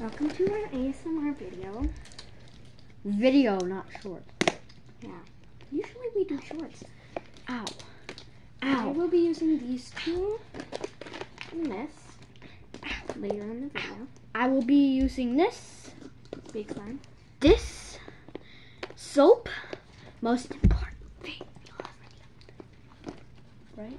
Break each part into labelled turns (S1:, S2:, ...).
S1: Welcome to our ASMR video. Video, not short. Yeah. Usually we do shorts. Ow. Ow. I will be using these two and this later in the video. I will be using this. Big This soap. Most important thing. Right?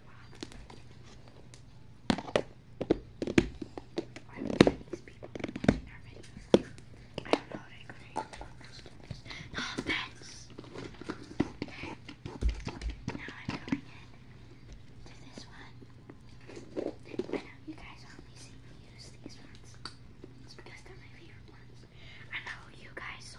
S1: I offense. Now I'm going in this one. I know you guys only see me use these ones. It's because they're my favorite ones. I know you guys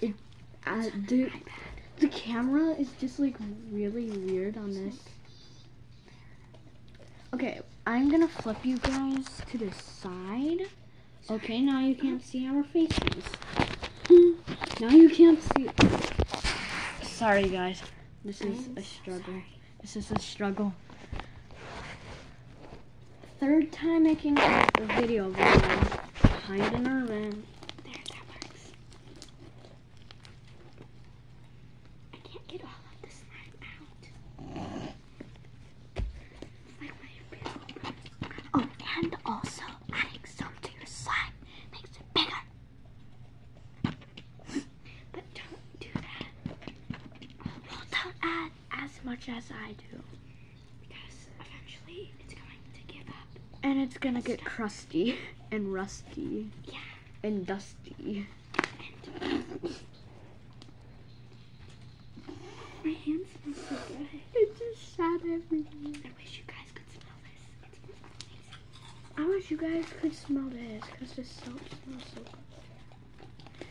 S1: the, the camera is just like really weird on this. Okay, I'm gonna flip you guys to the side. Okay, now you can't see our faces. now you can't see. Sorry guys, this is a struggle. This is a struggle. Third time making a video of it. Hide in our van. There, that works. I can't get all of the slime out. Like oh, and also adding some to your slime makes it bigger. but don't do that. Well, don't add as much as I do. Because eventually it's going to give up. And it's gonna get crusty and rusty. Yeah. And dusty. my hands smell so good. It's just sad. I wish you guys could smell this. I wish you guys could smell this because this soap smells so good.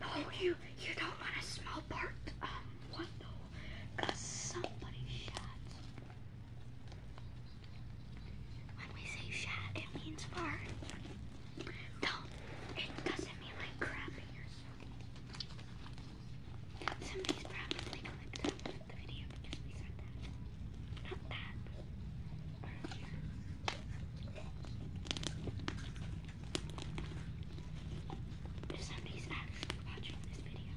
S1: No, you you don't want to smell part um one though, somebody shot. When we say shot, it means fart. No, it doesn't mean like crapping or Somebody's probably going to the video because we said that. Not that. Earlier. If somebody's actually watching this video,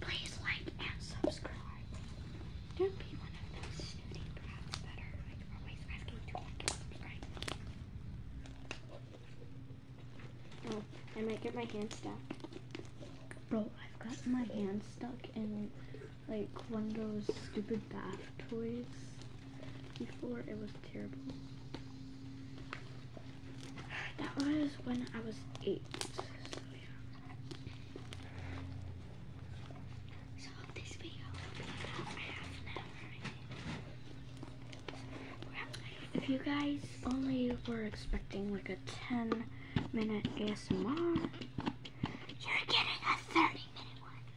S1: please like and subscribe. Don't be one of those snooty brats that are like always asking to like Oh, I might get my hands stuck. Bro, I've got my hands stuck in like one of those stupid bath toys before it was terrible. That was when I was eight. If you guys only were expecting like a 10 minute ASMR, you're getting a 30 minute one.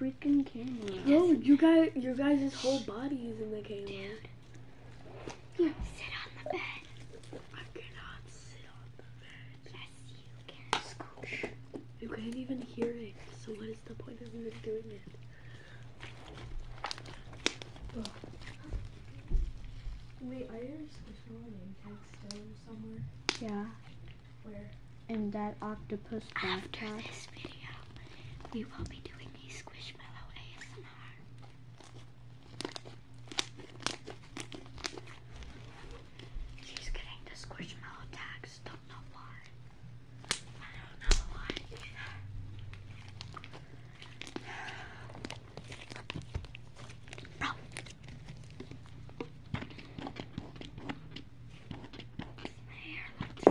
S1: freaking camera. No, you guys, your guys' whole body is in the camera. you can. not even hear it, so what is the point of even doing it? Wait, are your social and text still somewhere? Yeah. In that octopus After this video, we will be doing a Squishmallow ASMR. She's getting the Squishmallow tags. Don't know why. I don't know why.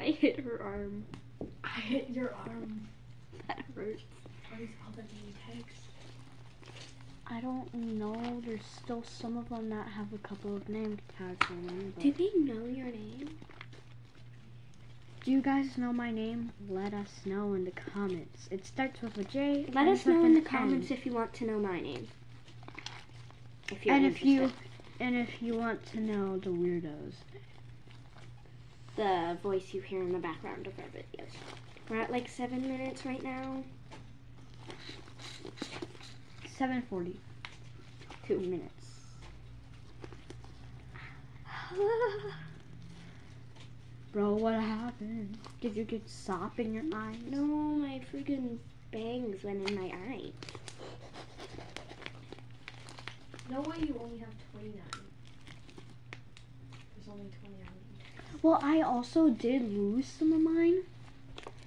S1: I hit her arm. I hit your arm. That hurts. Are these all the name tags? I don't know. There's still some of them that have a couple of name tags on them. Do they know your name? Do you guys know my name? Let us know in the comments. It starts with a J. Let us know in the comments if you want to know my name. and if you and if you want to know the weirdos. The voice you hear in the background of our videos. We're at like seven minutes right now. Seven forty. Two minutes. Bro, what happened? Did you get sop in your eye? No, my freaking bangs went in my eye. No way you only have 29. There's only 29. Well, I also did lose some of mine.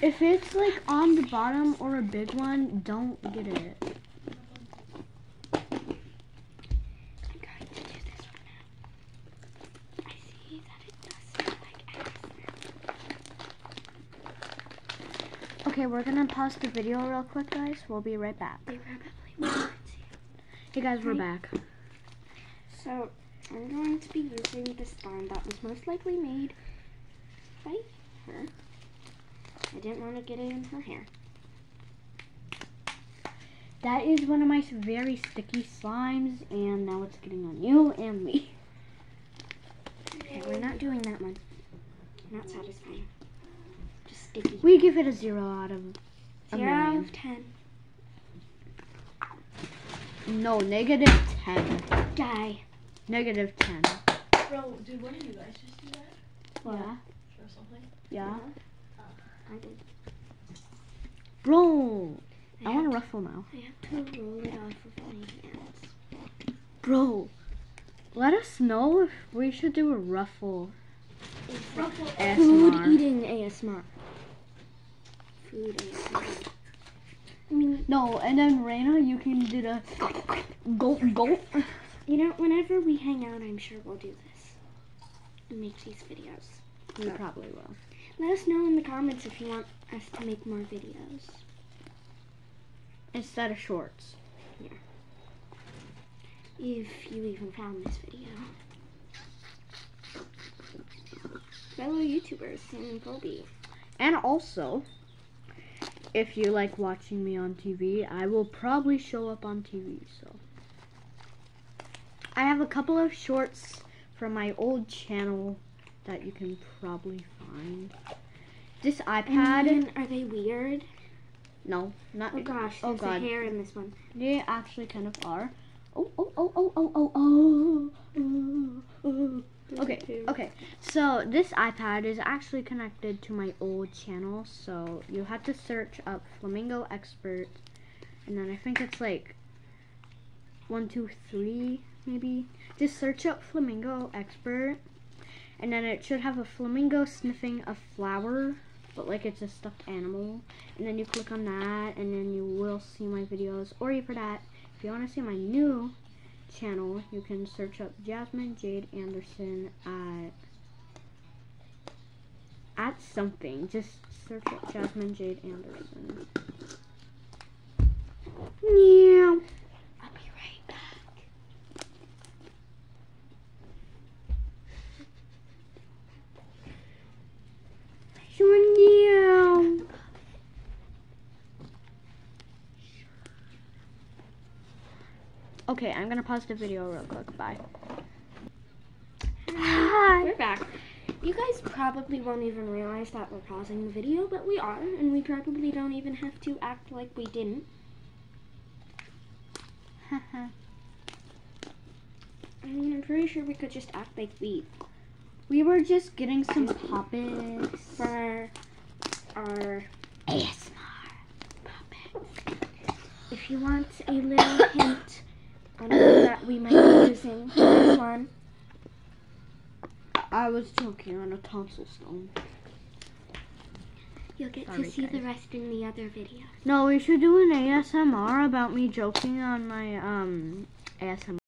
S1: If it's like on the bottom or a big one, don't get it. Okay, we're gonna pause the video real quick, guys. We'll be right back. hey guys, we're back. So, I'm going to be using this slime that was most likely made fight her. I didn't want to get it in her hair. That is one of my very sticky slimes, and now it's getting on you and me. Okay, we're not doing that one. Not satisfying. Just sticky. We give it a zero out of zero out of ten. No, negative ten. Die. Negative 10. Bro, did one of you guys just do that? Yeah. Or Yeah. Uh-huh. Oh, I did. Bro! I, want to ruffle now. I have to roll it off with my hands. Bro! Let us know we should do a ruffle. Food eating ASMR. Food ASMR. No, and then Raina, you can do the gulp gulp. You know, whenever we hang out, I'm sure we'll do this. And make these videos. We probably will. Let us know in the comments if you want us to make more videos. Instead of shorts. Yeah. If you even found this video. Fellow YouTubers, Sam And also, if you like watching me on TV, I will probably show up on TV, so. I have a couple of shorts from my old channel that you can probably find. This iPad. Then, are they weird? No, not. Oh gosh, oh there's God. a hair in this one. They actually kind of are. Oh, oh, oh, oh, oh, oh, oh, oh, oh. oh. Okay, okay. So this iPad is actually connected to my old channel, so you have to search up Flamingo Expert, and then I think it's like one, two, three, maybe. Just search up Flamingo Expert, and then it should have a flamingo sniffing a flower, but like it's a stuffed animal. And then you click on that, and then you will see my videos, or you for that. If you want to see my new channel, you can search up Jasmine Jade Anderson at at something. Just search up Jasmine Jade Anderson. Yeah. I'll be right back. yeah. Okay, I'm gonna pause the video real quick. Bye. Hi. We're back. You guys probably won't even realize that we're pausing the video, but we are, and we probably don't even have to act like we didn't. I mean, I'm pretty sure we could just act like we we were just getting some puppets for our ASMR puppets. If you want a little hint on that we might be using this one. I was joking on a tonsil stone. You'll get to see the rest in the other video. No, we should do an ASMR about me joking on my um ASMR.